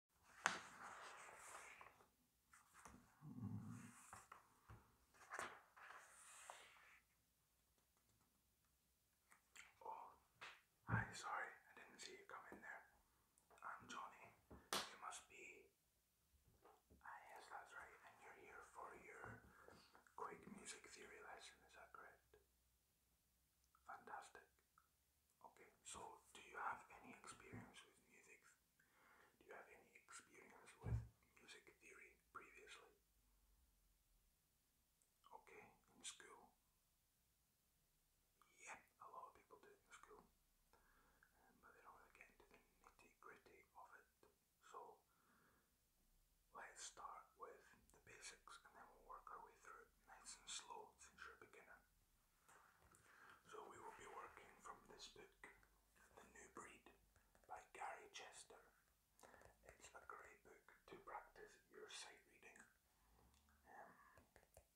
Oh, hi, sorry, I didn't see you come in there. I'm Johnny. You must be. Ah, yes, that's right. And you're here for your quick music theory lesson, is that correct? Fantastic. Okay, so do you have any experience with music? Do you have any experience with music theory previously? Okay, in school? Yeah, a lot of people do in school, um, but they don't get into the nitty gritty of it. So let's start with the basics and then we'll work our way through nice and slow since you're a beginner. So we will be working from this book, The New Breed by Gary Chester. It's a great book to practice your sight reading. Um,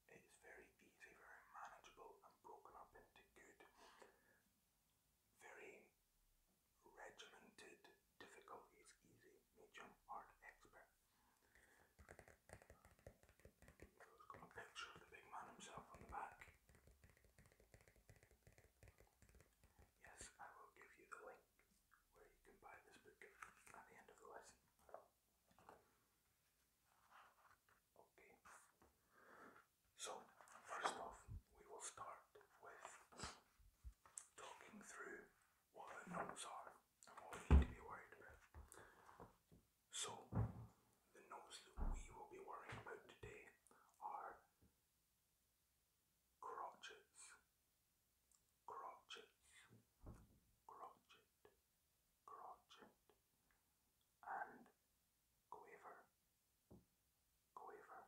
it is very easy, very manageable and broken up into good, very regimented difficulties, easy, medium, hard, expert. It's got a picture of the big man himself on the back. Yes, I will give you the link where you can buy this book at the end of the lesson. Okay. So, first off, we will start with talking through what the notes are and what we need to be worried about. So, the notes that we will be worrying about today are crotchets, crotchets, crotchet, crotchet, and quaver, quaver,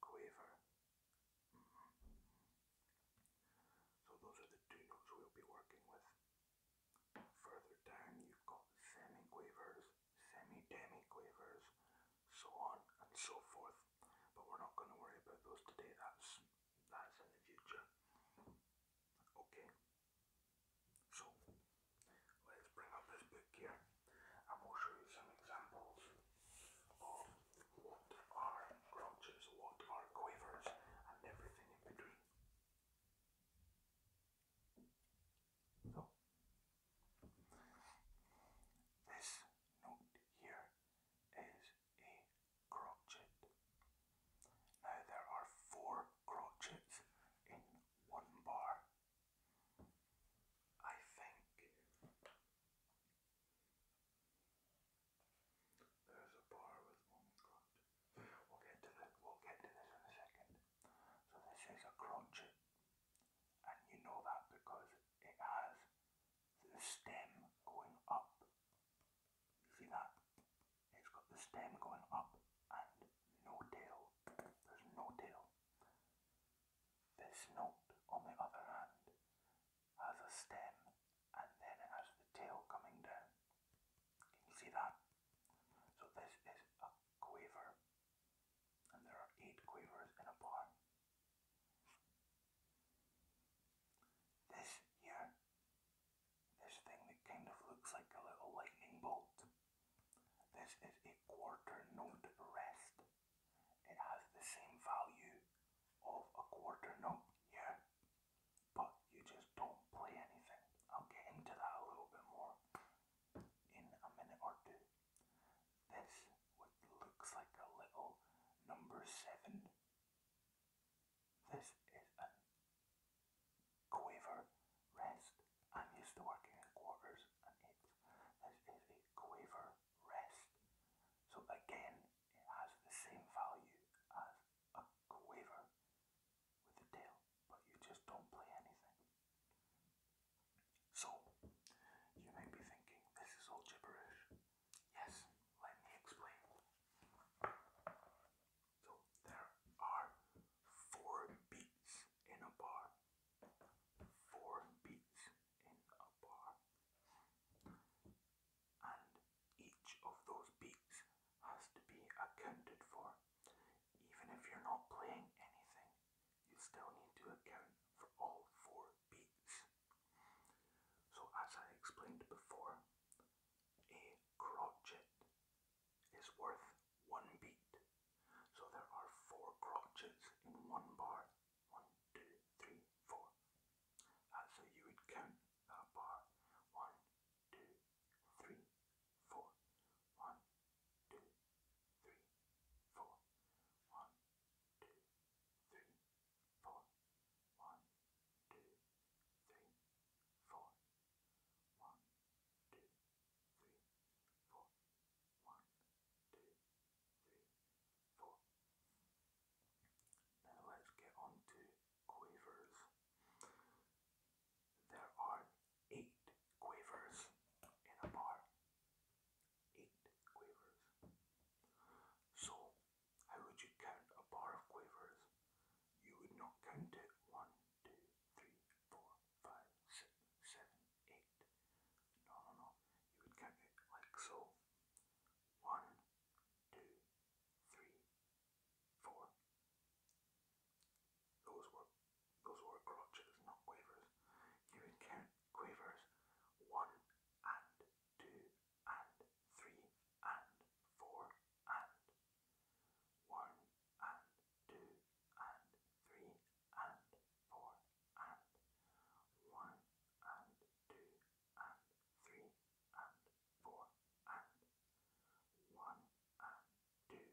quaver. So those are the two notes we'll be working with. Further down you've got semiquavers, semi-demiquavers, so on and so forth. But we're not going to worry about those today, that's, that's in the future. Okay, so let's bring up this book here and will show you some examples of what are grouches, what are quavers and everything in between. this note here is a crotchet. Now, there are four crotchets in one bar. I think there's a bar with one grunt. We'll get to the we'll get to this in a second. So this is a crunch, and you know that because it has the stem going up. You see that? It's got the stem going up and no tail. There's no tail. This note on the other hand has a stem and then it has the tail coming down. Can you see that? So this is a quaver and there are eight quavers in a bar. This here, this thing that kind of looks like a little lightning bolt, this is a quarter note rest. It has the same value of a quarter note here but you just don't play anything. I'll get into that a little bit more in a minute or two. This looks like a little number seven. This is a quaver rest. I'm used to working in quarters and eights. This is a quaver rest. So again, it has the same value as a a waver with the tail, but you just don't play anything. So, you might be thinking, this is all gibberish. Yes, let me explain. So, there are four beats in a bar. Four beats in a bar and each of those beats has to be accounted for. Even if you're not playing anything, you still need to account for all four beats. So, as I explained before, a crotchet is worth one beat. So, there are four crotchets in one bar one, two, three, four. That's you would count the bar. One, two, three, four. One, two, three, four. One, two, three, four. One, two, three, four. One, two, three, four. One, two, three, four. Now let's get on to quavers. There are eight quavers in a bar. Eight quavers. So, how would you count a bar of quavers? You would not count it one, two, three, four, five, six, seven, eight. No, no, no. You would count it like so. One, two, three, four. Those were those were crotches, not quavers. You would quavers one and two and three and four and one and two and three and four and one and two and three and four and one and two and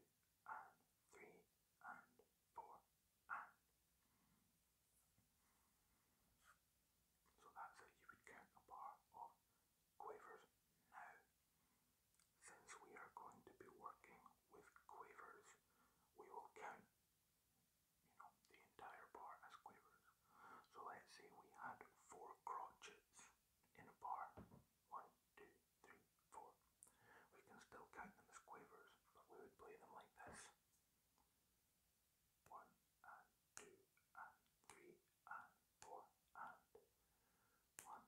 three and four and. So that's how you would count a bar of quavers now. Since we are going to be working with quavers, we will count you know, the entire bar as quavers. So let's say we had four crotchets in a bar. One, two, three, four. We can still count them as quavers, but we would play them like this. One and two and three and four and one and two and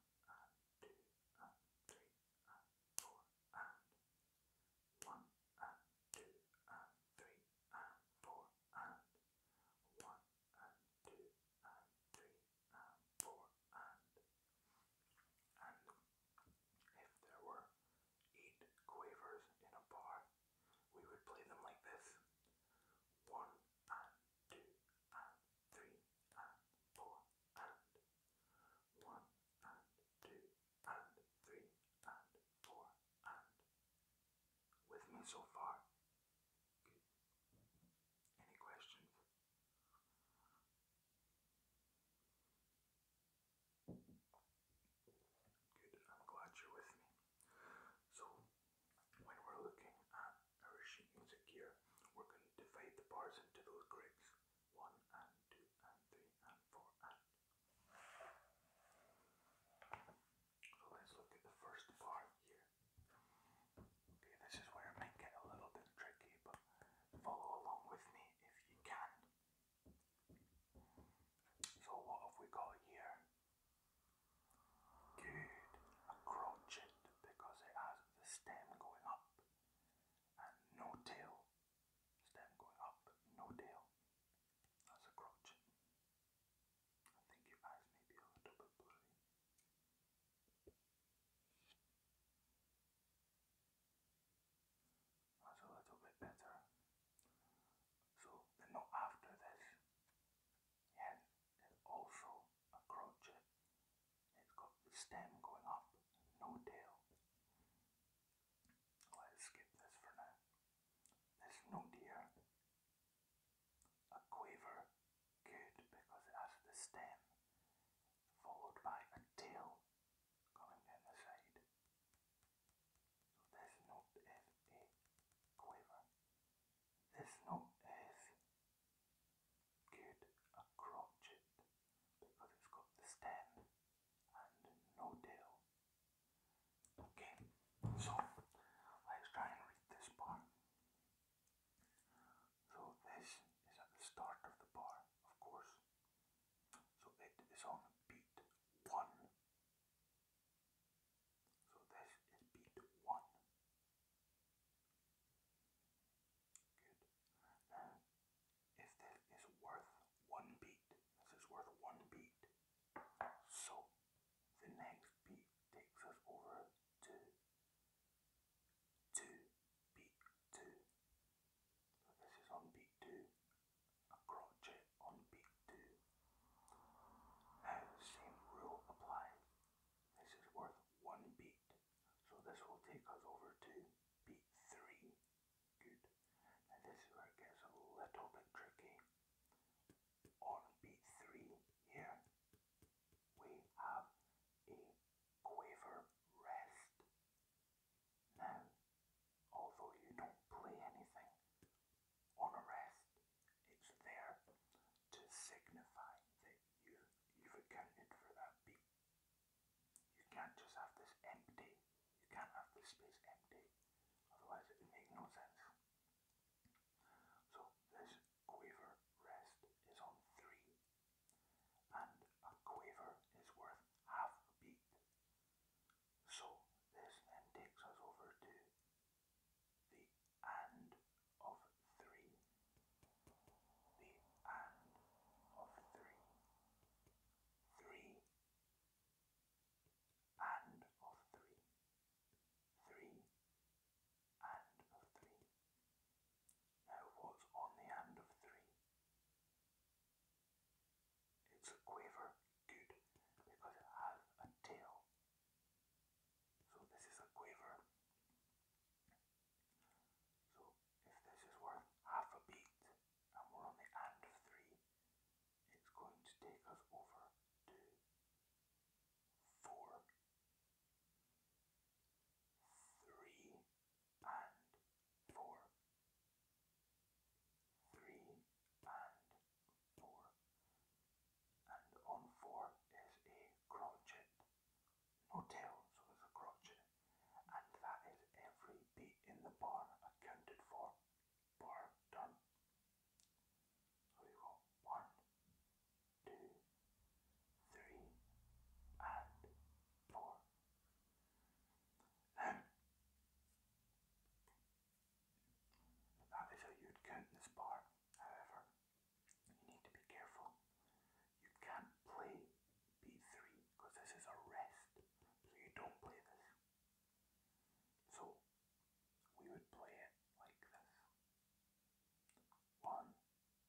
three and four and one and two and three and four and one and two and three and four and and if there were eight quavers in a bar, we would play them like this. One and two and three and four and one and two and three and four and with me so far? Any questions? Good, I'm glad you're with me. So, when we're looking at our music here, we're going to divide the bars into those grids. One and two and three and four and. So let's look at the first part here. Okay, this is where it might get a little bit tricky, but follow along with me if you can. So what have we got here? Good, a crotchet because it has the stem going up and no tail. Stem going up, no tail. That's a crotchet. I think your eyes may be a little bit blurry. That's a little bit better. So the note after this, yeah, is also a crotchet. It's got the stem going up, no tail. Let's skip this for now. This note here a quaver, good because it has the stem followed by a tail coming down the side. So this note is a quaver. This note is good, a crotchet, because it's got the stem and no tail. Okay, so let's try and read this part. So this is at the start of the bar, of course. So it is on beat one. So this is beat one. Good. if this is worth one beat, this is worth one beat. So the next beat takes us over to two beat two. this is on beat two, a crotchet on beat two. same rule applies. This is worth one beat, so this will take us over to beat three. Good. Now this is where it gets a little bit tricky on b3 here we have a quaver rest. Now, although you don't play anything on a rest, it's there to signify that you, you've accounted for that beat. You can't just have this empty, you can't have this space empty, otherwise it would no sense. So this quaver rest is on 3, and a quaver is worth half a beat. So this then takes us over to the and of 3. The and of 3. 3 and of 3 three, and three. Now what's on the and of three? It's a quaver, good, because it has a tail. So this is a quaver. So if this is worth half a beat and we're on the and of three, it's going to take us over to and 4, 3 and 4, and on 4 is a crotchet, no tail, so it's a crotchet, and that is every beat in the bar accounted for bar done. So you go one, two, three, and four. Now, that is you'd count this bar. However, you need to be careful. You can't play B3 because this is a rest, so you don't play this. So we would play it like this. One,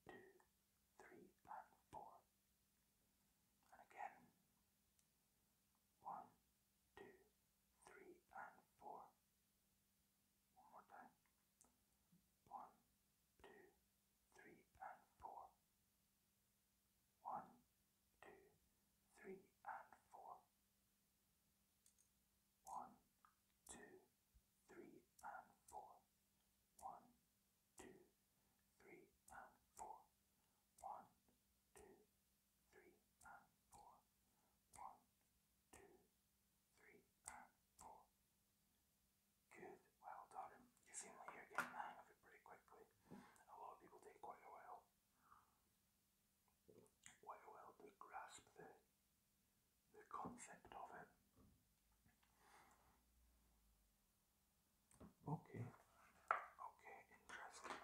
two, three, and four. And again. One, two, three, and four. One more time. One, two, three, and four. One, two, three, and four. One, two, three, and four. One, two, three, and four. One, two, three, and four. One, two, three, and four. Good, well done. You seem like you getting the hang of it pretty quickly. A lot of people take quite a while quite well to grasp the, the concept of it. Okay, okay, interesting.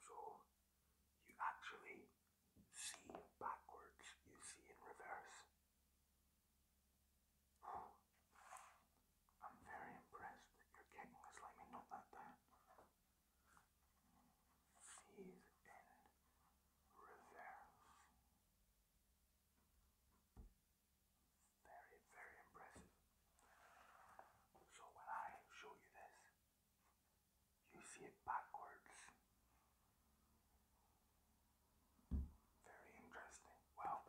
So you actually see backwards, you see in reverse. I'm very impressed that your kicking is letting me knock that down. C's in reverse. Very, very impressive. So when I show you this, you see it backwards. Very interesting. Well,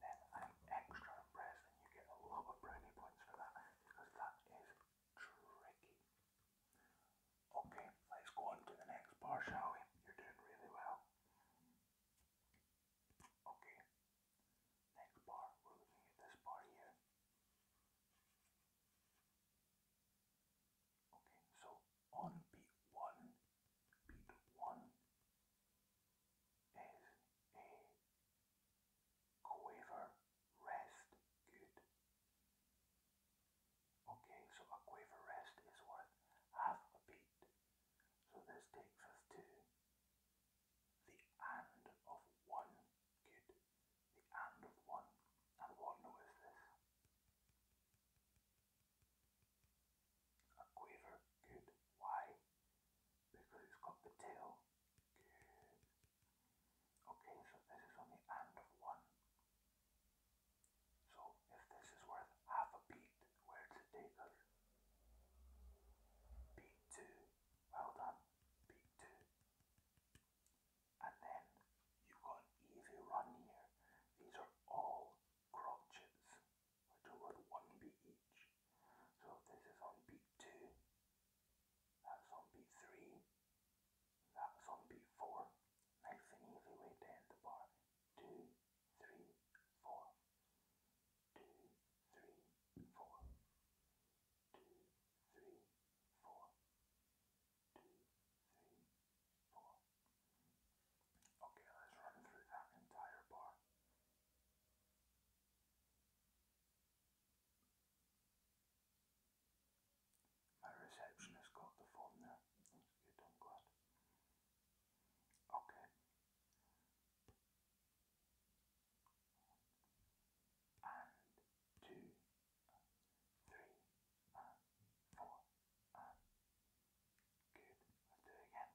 then I'm extra press, and you get a lot of brownie points for that because that is tricky. Okay, let's go on to the next bar, shall we? You're doing really well. Okay, next bar, we're looking at this bar here. Okay, so on beat one, beat one is a quaver, rest, good. Okay, so a quaver rest is worth half a beat. So this takes us to the and of one, good. The and of one, and what note is this? A quaver, good. Why? because it's got the tail. Okay, so this is on the end of one. So if this is worth half a beat, where does it Beat two. Well done. Beat two. And then you've got easy run here. These are all crotchets which will load one beat each. So if this is on beat 2, that's on beat 3, that's on beat 4. Nice and easy way to end the bar. 2, 3, 4. 2, Okay, let's run through that entire bar. My receptionist got the phone there. That's good, I'm Okay. And good. Let's do it again.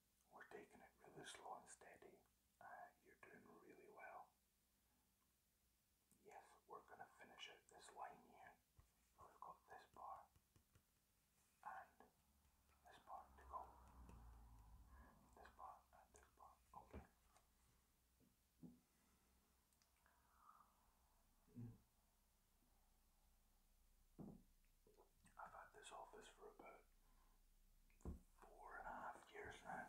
We're taking it really slow and steady. Uh, you're doing really well. Yes, we're going to finish out this line here. We've got this bar and this bar to go. This bar and this bar. Okay. Hmm. I've had this office for about four and a half years now.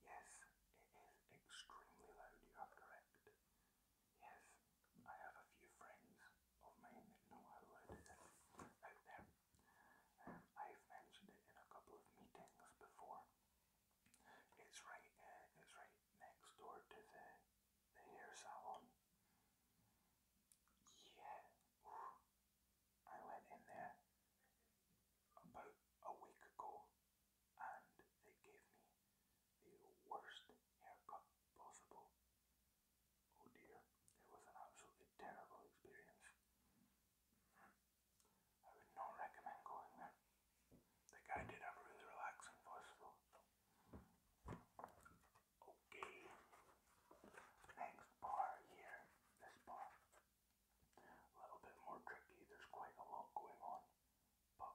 Yes, it is extremely loud, you are correct. Yes, I have a few friends of mine that know how loud it is out there. Um, I've mentioned it in a couple of meetings before. It's right, uh, it's right next door to the Here's that one. Yeah. I went in there about a week ago and they gave me the worst haircut possible. Oh dear, it was an absolutely terrible experience. I would not recommend going there. The guy did have really relaxing voice though. Okay. Next bar here. This bar. A little bit more tricky. There's quite a lot going on. But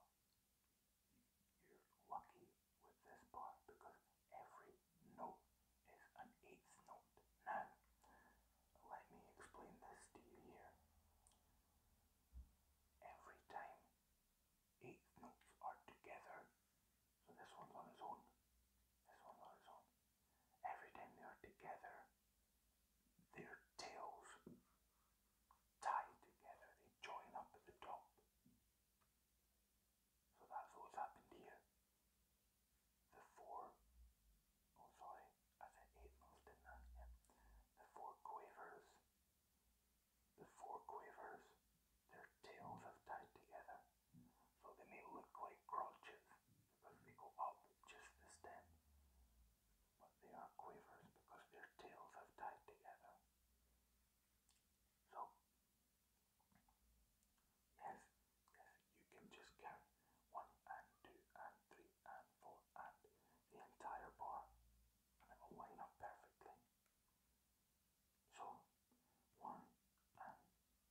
you're lucky with this bar because every note is an eighth note. Now, let me explain this to you here. Every time eighth notes are together, so this one's on its own. This one's on its own. Every time they are together, their tails tie together, they join up at the top. So that's what's happened here. The four, oh sorry, I said eight months, didn't Yeah. The four quavers the four quavers, their tails have tied together, so they may look like crotches because they go up just the stem, but they are quavers because their tails have tied together. So, yes, yes, you can just count one and two and three and four and the entire bar, and it will line up perfectly. So, one and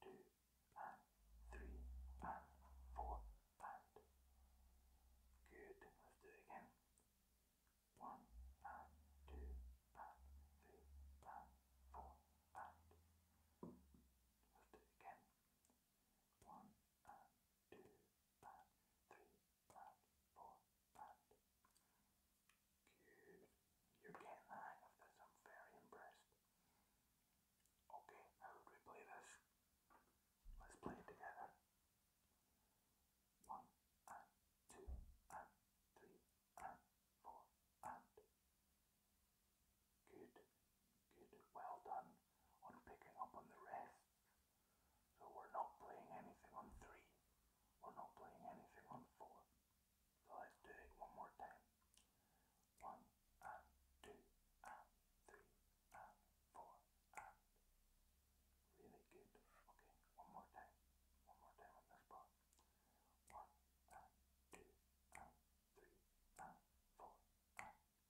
two and three and four and good. Let's do it again. One and two and three and four and let's do it again. One and two and three and four but good. You're getting the hang of this. I'm very impressed. Okay, how would play this? Let's play it together. One good, good, well done on picking up on the rest. So we're not playing anything on three. We're not playing anything on four. So let's do it one more time. One and two and three and four and really good. Okay, one more time. One more time on this part. One and two and three and four and fantastic. Fantastic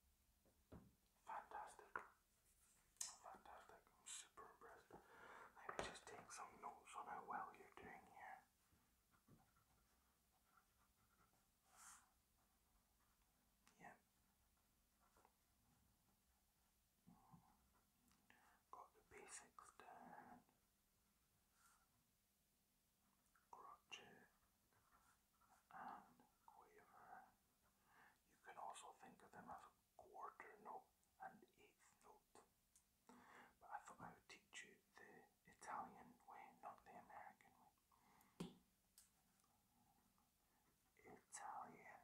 super impressed. Let me just take some notes on how well you're doing here. Yeah. Mm-hmm. Got the basics down. Crotchet and quaver. You can also think of them as quarter note, and eighth note. But I thought I would teach you the Italian way, not the American way. Italian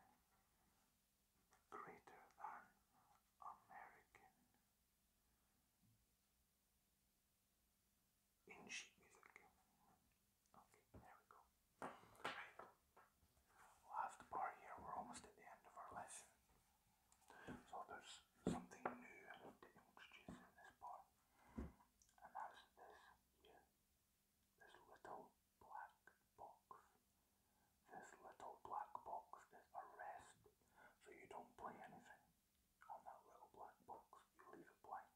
greater than American. In sheet music. Okay, there we go. Right. bar here. We're almost at the end of our lesson. So there's something new I need to introduce in this part, and that's this here, this little black box. This little black box is a rest, so you don't play anything on that little black box, you leave it blank,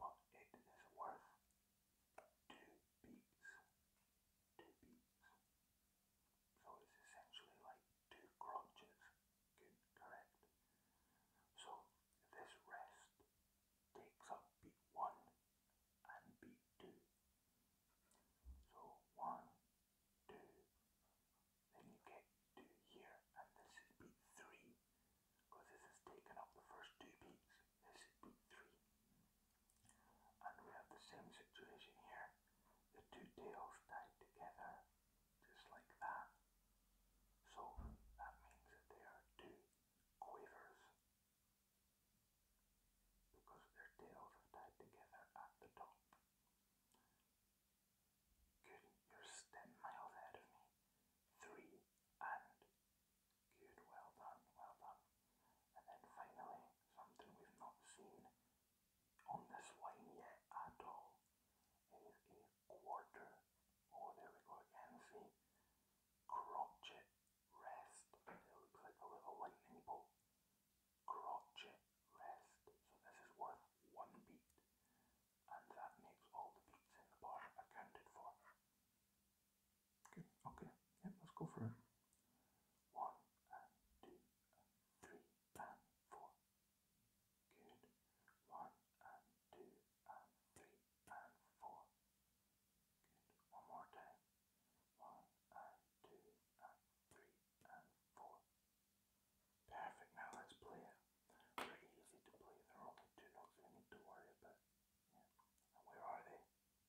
but it is worth two beats. Two beats. So it's essentially like two crotches, good, correct. So this rest takes up beat one and beat two. So one, two, then you get two here, and this is beat three, because this has taken up the first two beats. This is beat three. And we have the same situation here. The two tails tied together just like that. So that means that they are two quavers because their tails are tied together at the top. Good, you're 10 miles ahead of me. Three and good, well done, well done. And then finally, something we've not seen on this wine yet at all is a quarter. Oh, there we go again. See, crotchet rest. It looks like a little lightning bolt. Crotchet rest. So this is worth one beat, and that makes all the beats in the bar accounted for. Good. Okay. Yeah, let's go for it. One and two and three and four. Good. One and two and three and four. Good. One more time. One and two and three and four. Perfect. Now let's play it. Pretty easy to play. There are only two notes we need to worry about. Yeah. where are they?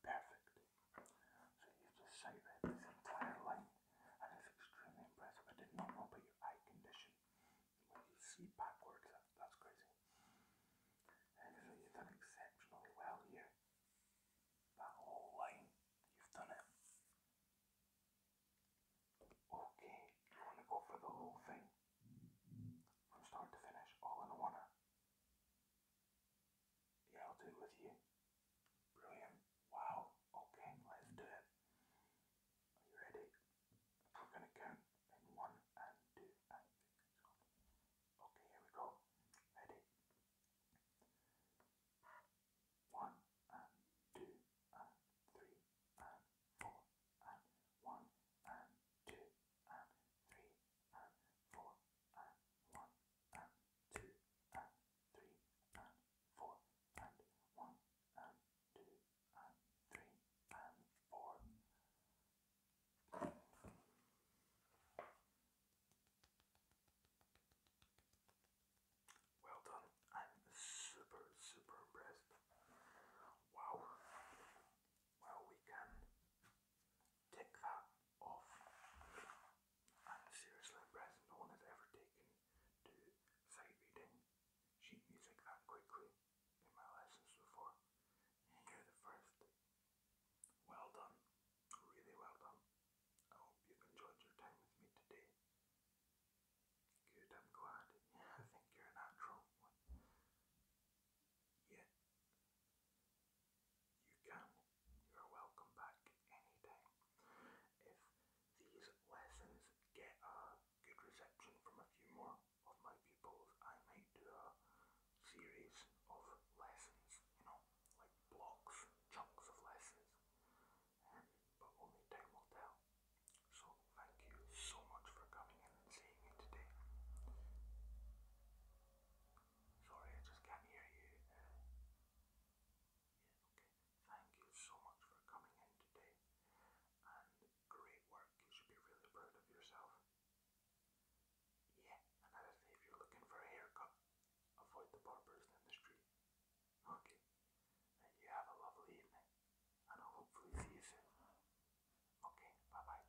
Perfect. So you just sight this entire line, and it's extremely impressive. I did not know about your eye condition. When you see backwards, that's crazy. And so you've done exceptionally well here. That whole line, you've done it. Okay, you want to go for the whole thing? From start to finish, all in a one. Yeah, I'll do it with you. Brilliant. Wow. Okay, let's do it. Are you ready? We're gonna count in one and two and three. Okay, here we go. Ready? One and two and three and four and one and two and three and four and one and four and and four. Well done. I'm super, super impressed. Wow. Well, we Take that off. And seriously impressed, no one has ever taken to sight reading sheet music that quickly in my lessons before. you the first. Well done. Really well done. I hope you've enjoyed your time with me today. Good, I'm glad. I think you're a natural Yeah. You can. You're welcome back anytime. If these lessons get a good reception from a few more of my pupils, I might do a series of lessons, you know, like blocks, chunks of lessons. Um, but only time will tell. So thank you so much for coming and seeing me today. Sorry, I just can't hear you. yeah, okay. Thank you so much for coming in today. And great work. You should be really proud of yourself. Yeah, and as if you're looking for a haircut, avoid the barbers in the street. Okay. And you have a lovely evening. And I'll hopefully see you soon. Okay, bye bye.